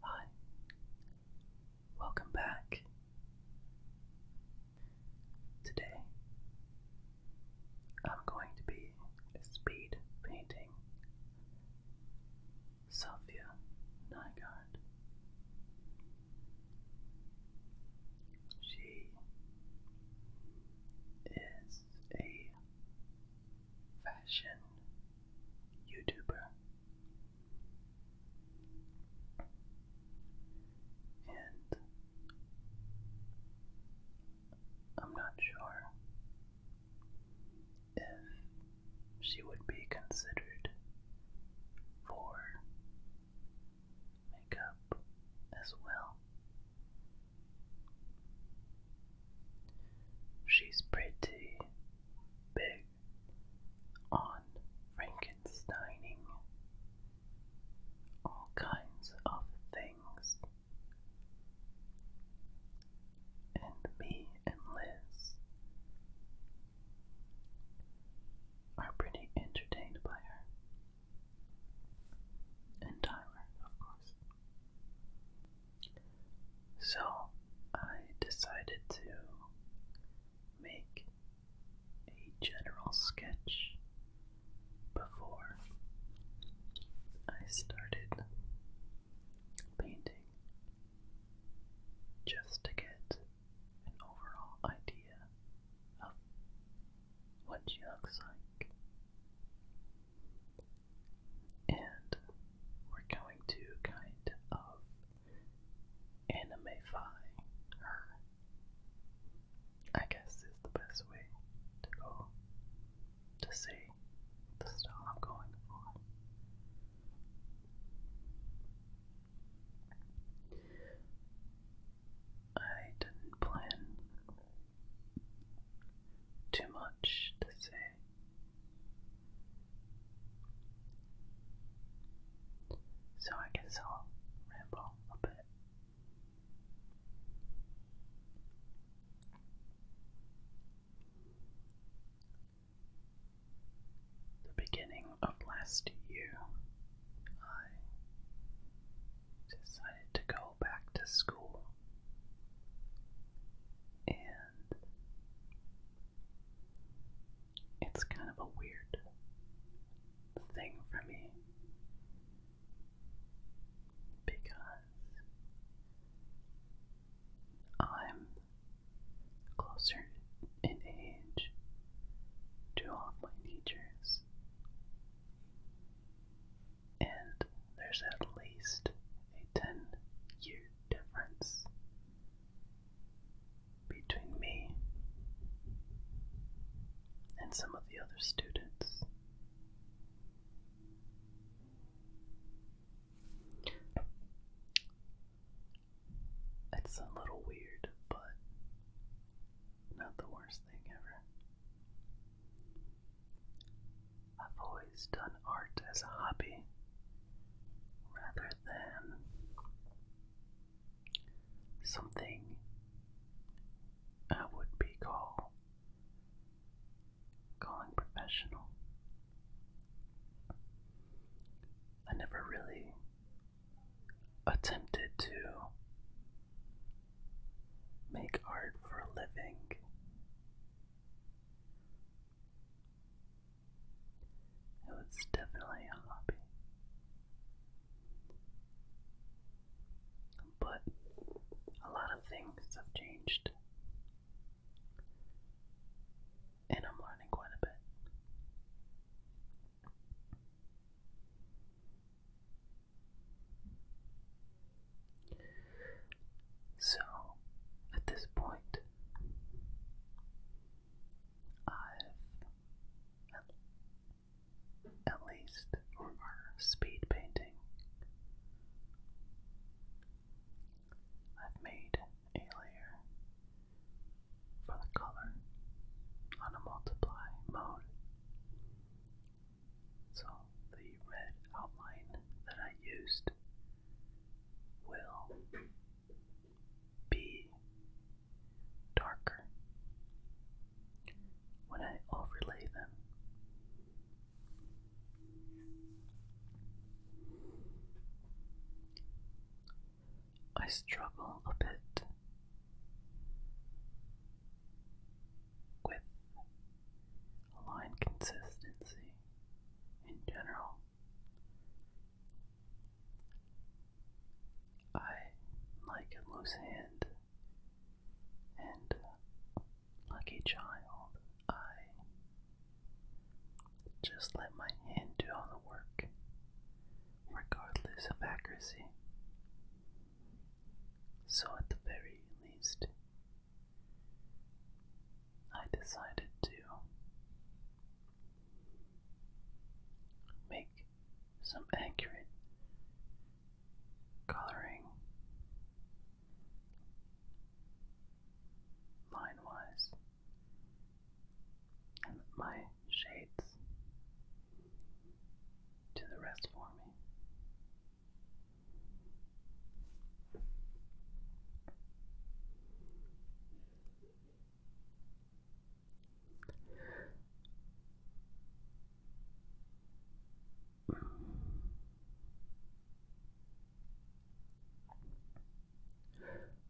Hi, welcome back. Today I'm going to be speed painting Sofia Nygaard. She is a fashion YouTuber and I'm not sure if she would be considered for makeup as well. She's pretty big on Frankensteining, all kinds of things. And me and Liz are pretty entertained by her. And Tyler, of course. So I decided to make a general sketch before I started painting just to get an overall idea of what she looks like. And we're going to kind of animifying her. I guess is the best way to go to say the style I'm going for. I didn't plan too much to say so I guess I'll ramble a bit. The beginning of last year, I decided to go back to school, and it's kind of a weird thing for me because I'm closer in age to all my teachers, and there's at least a 10 year difference between me and some of the other students. It's a little weird, but not the worst thing ever. I've always done art as a hobby rather than something I would be call calling professional. I never really attempted to make art for a living. It was definitely a hobby. But a lot of things have changed. And I'm learning quite a bit. So, at this point, I've at, least for our speed painting, I've made a layer for the color on a multiply mode. So the red outline that I used will be darker when I overlay them. I struggle a bit with line consistency in general. I like a loose hand and like a child, I just let my hand do all the work, regardless of accuracy. So, at the very least, I decided to make some accurate coloring line wise and my shades do the rest for me.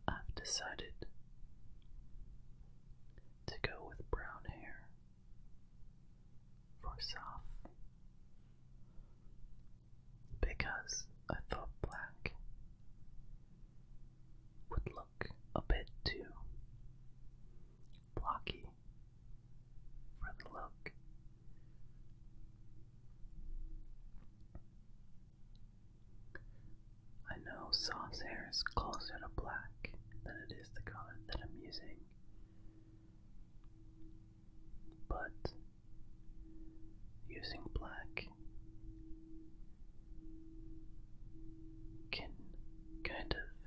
I've decided to go with brown hair for soft because I thought black would look a bit too blocky for the look. I know sauce hair is closer to black than it is the color that I'm using, but using black can kind of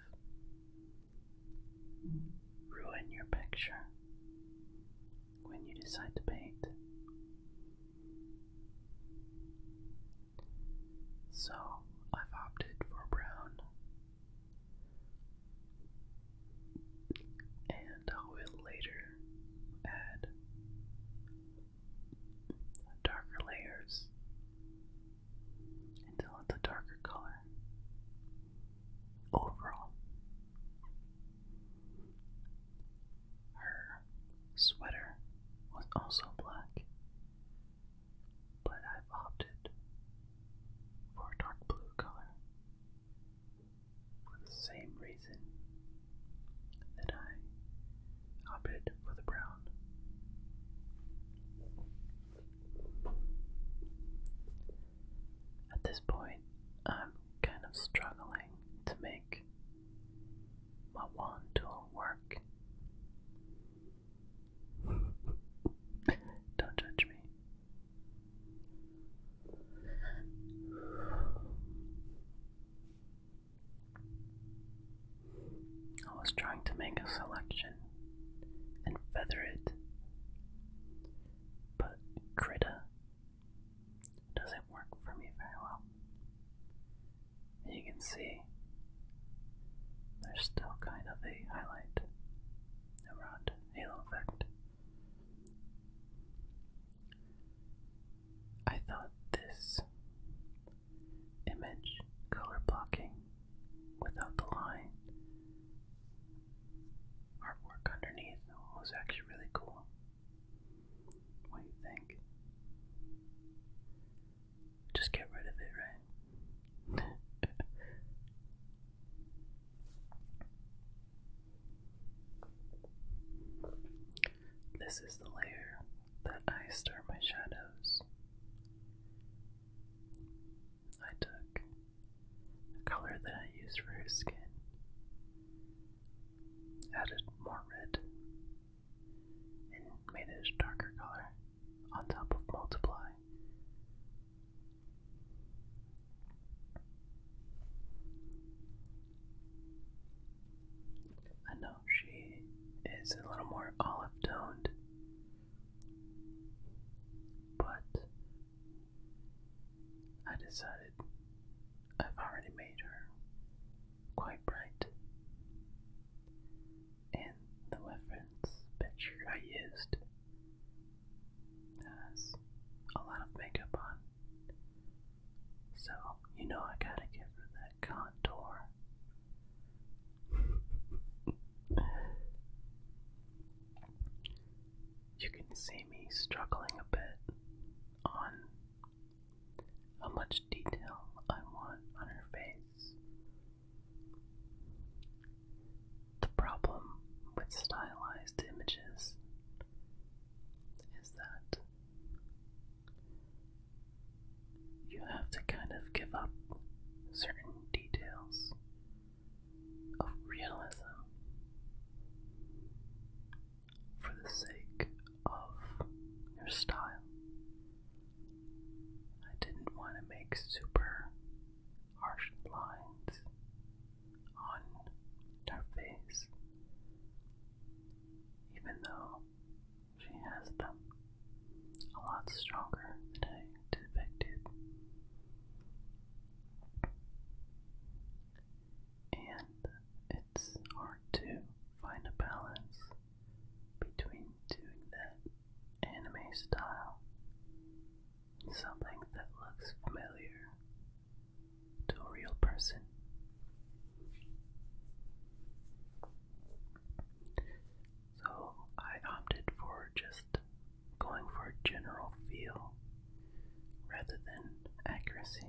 ruin your picture when you decide to paint. So I've opted for brown, and I will later add darker layers until it's a darker color overall. Her sweater was also black, but I've opted for a dark blue color for the same reason that I opted for the brown. At this point, I'm kind of struggling to make my wand tool work. Don't judge me. I was trying to make a selection and feather it, but Krita doesn't work for me very well. you can see there's still kind of a highlight around halo effect. I thought this image color blocking without the line artwork underneath was actually really cool. What do you think? Just get rid of it, right? This is the layer that I stir my shadows. I took the color that I used for his skin, added more red, and made it a darker color on top of multiply. I know she is a little more olive toned, but I decided I've already made her quite bright. And the reference picture I used has a lot of makeup on. So, you know, I gotta give her that contour. you can see me struggling a bit on how much detail I want on her face. The problem with stylized images is that you have to kind of give up certain details of realism for the sake of your style. I didn't want to make super harsh lines on her face, even though she has them. A lot stronger than I expected. And it's hard to find a balance between doing that anime style something that looks familiar to a real person so I opted for just going for a general feel rather than accuracy.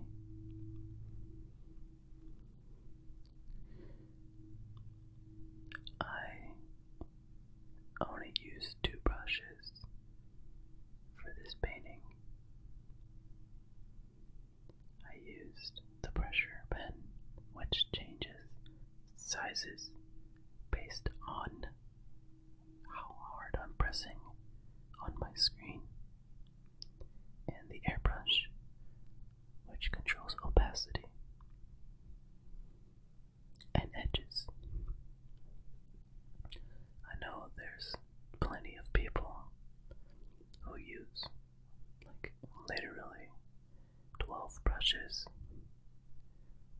I only used two brushes for this painting. I used the pressure pen, which changes sizes based on how hard I'm pressing on my screen, and the airbrush, which controls opacity and edges. I know there's plenty of people who use like literally 12 brushes,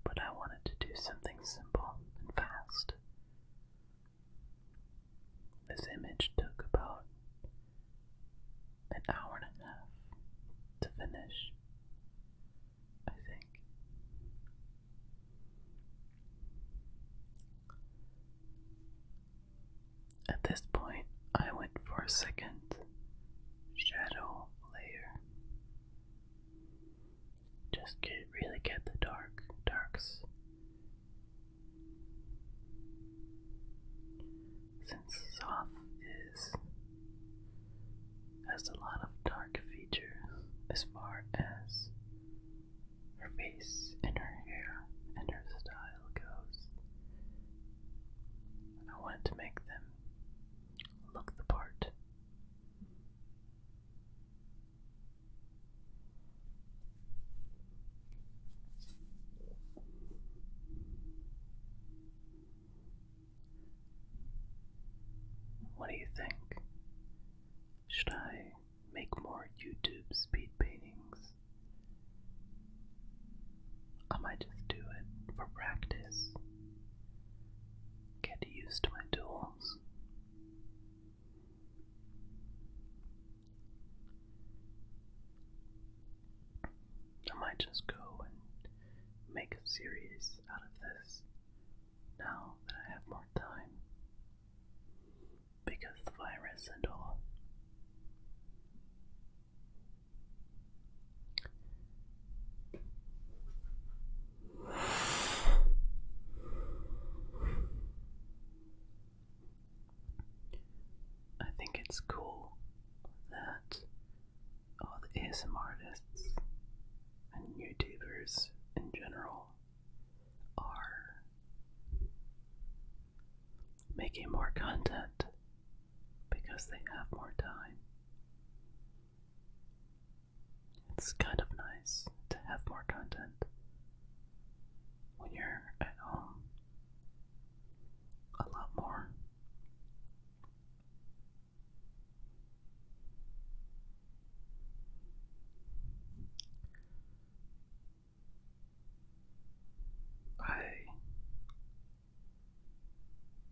but I wanted to do something simple and fast. This image took about an hour and a half to finish, I think. At this point, I went for a second shadow layer. Just get, really get the dark, darks. Since Soth is has a lot of dark features as far as her face and her hair and her style. I wanted to make them look the part. What do you think? Should I make more YouTube speed paintings? I might just do it for practice. Get used to my tools. I might just go and make a series out of this now that I have more time. Because the virus and all. I think it's cool that all the ASMR artists and YouTubers in general are making more content because they have more time. It's kind of nice to have more content when you're at home. A lot more. I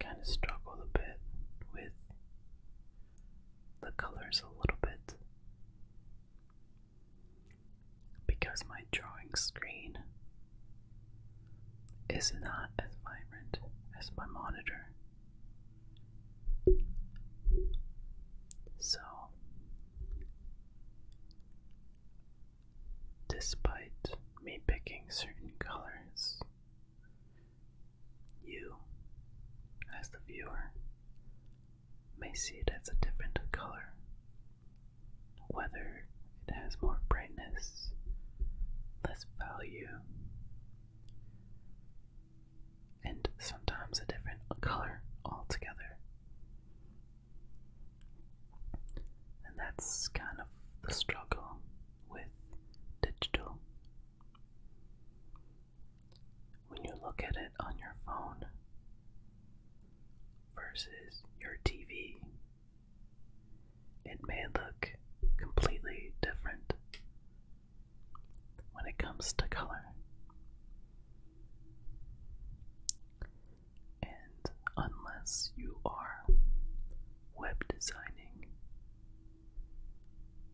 kind of struggled a bit with the colors a little bit because my drawing screen is not as vibrant as my monitor. So despite me picking certain colors, you, as the viewer, may see it as a different color, whether it has more brightness, less value, and sometimes a different color altogether. And that's kind of the struggle with digital. When you look at it on your phone versus your TV, it may look completely different when it comes to color. And unless you are web designing,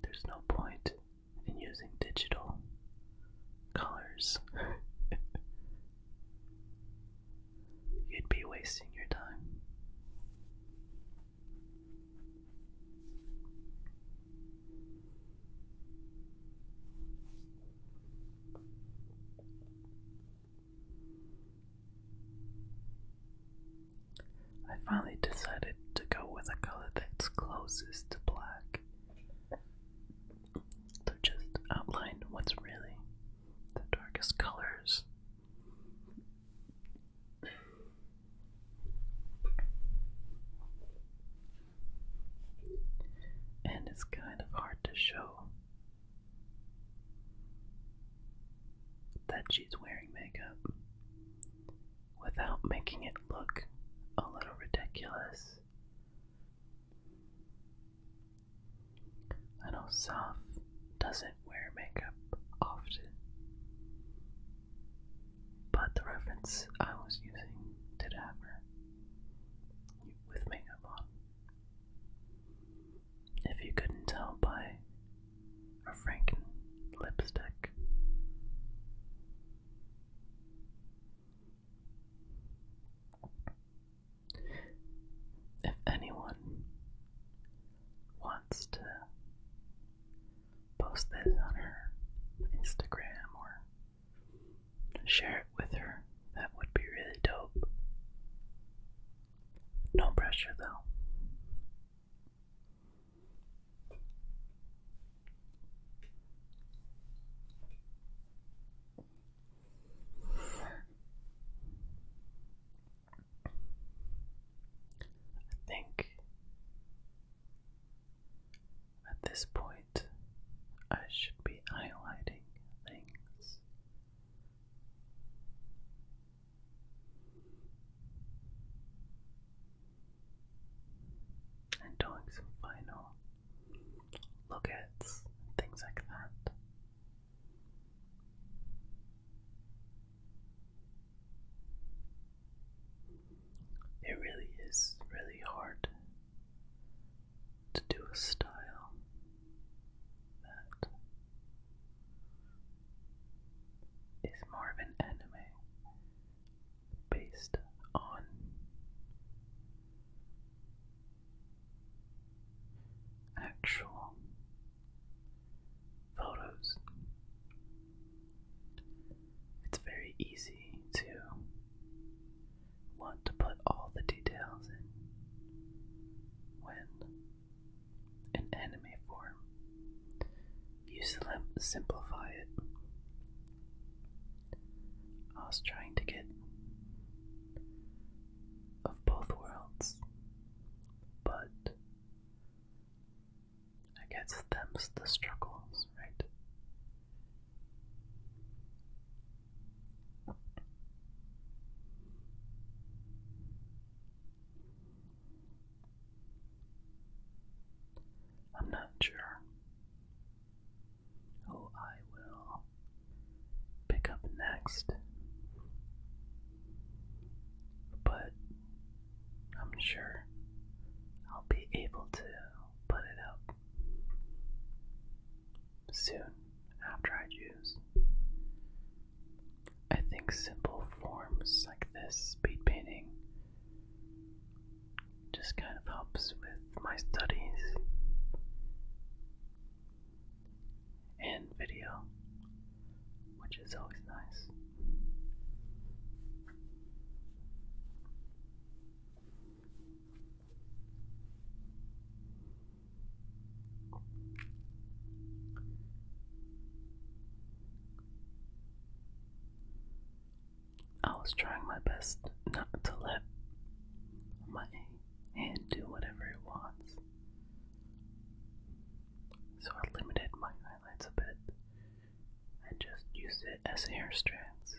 there's no point in using digital colors. You'd be wasting your time. I finally decided to go with a color that's closest to black to just outline what's really the darkest colors. And it's kind of hard to show that she's wearing makeup without making it look a little ridiculous. I know Soph doesn't wear makeup often, but the reference I was using did have her with makeup on. If you couldn't tell by her Franken lipstick. If anyone wants to post this on her Instagram or share it with her, that would be really dope. No pressure though. I think at this point I should be highlighting things and doing some final look things like that. It really is really hard to do a style that is more of an anime based on actual photos. It's very easy to want to put all the details in when in anime form. You simplify it. I was trying to get of both worlds, but I guess them's the struggles, right? I'm not sure who oh, I will pick up next, but I'm sure I'll be able to put it up soon after I use, I think simple forms like this speed painting just kind of helps with my studies and video, which is always nice. I was trying my best not to let my hand do whatever it wants. So I limited my highlights a bit and just used it as hair strands.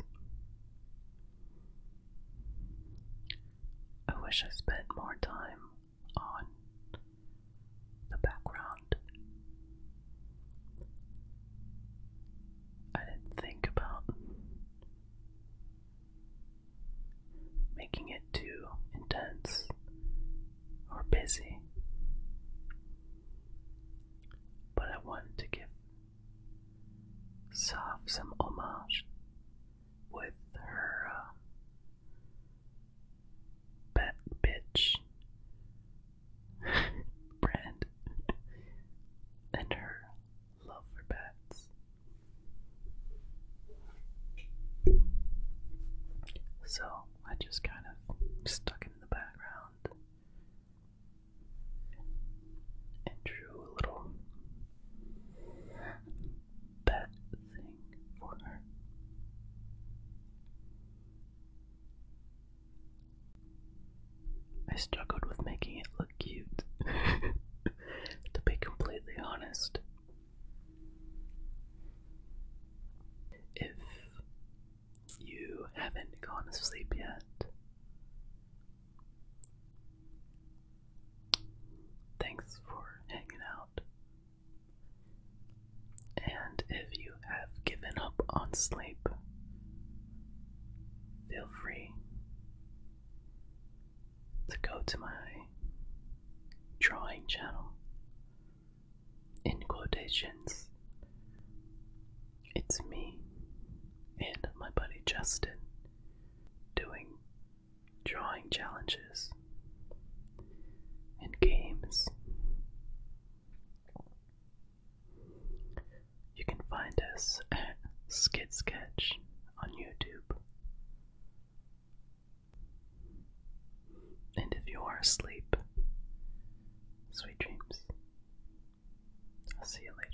I wish I spent more time on the background. I didn't think about making it too intense or busy, but I wanted to give Saf some homage with her bat um, bitch brand and her love for bats. So I just kind of stuck in the background and drew a little bat for her. I struggled with making it look cute, to be completely honest. If you haven't gone to sleep yet, thanks for hanging out and if you have given up on sleep, feel free to go to my drawing channel. In quotations, it's me and my buddy Justin doing drawing challenges, and games. You can find us at Skid Sketch on YouTube. And if you are asleep, sweet dreams. I'll see you later.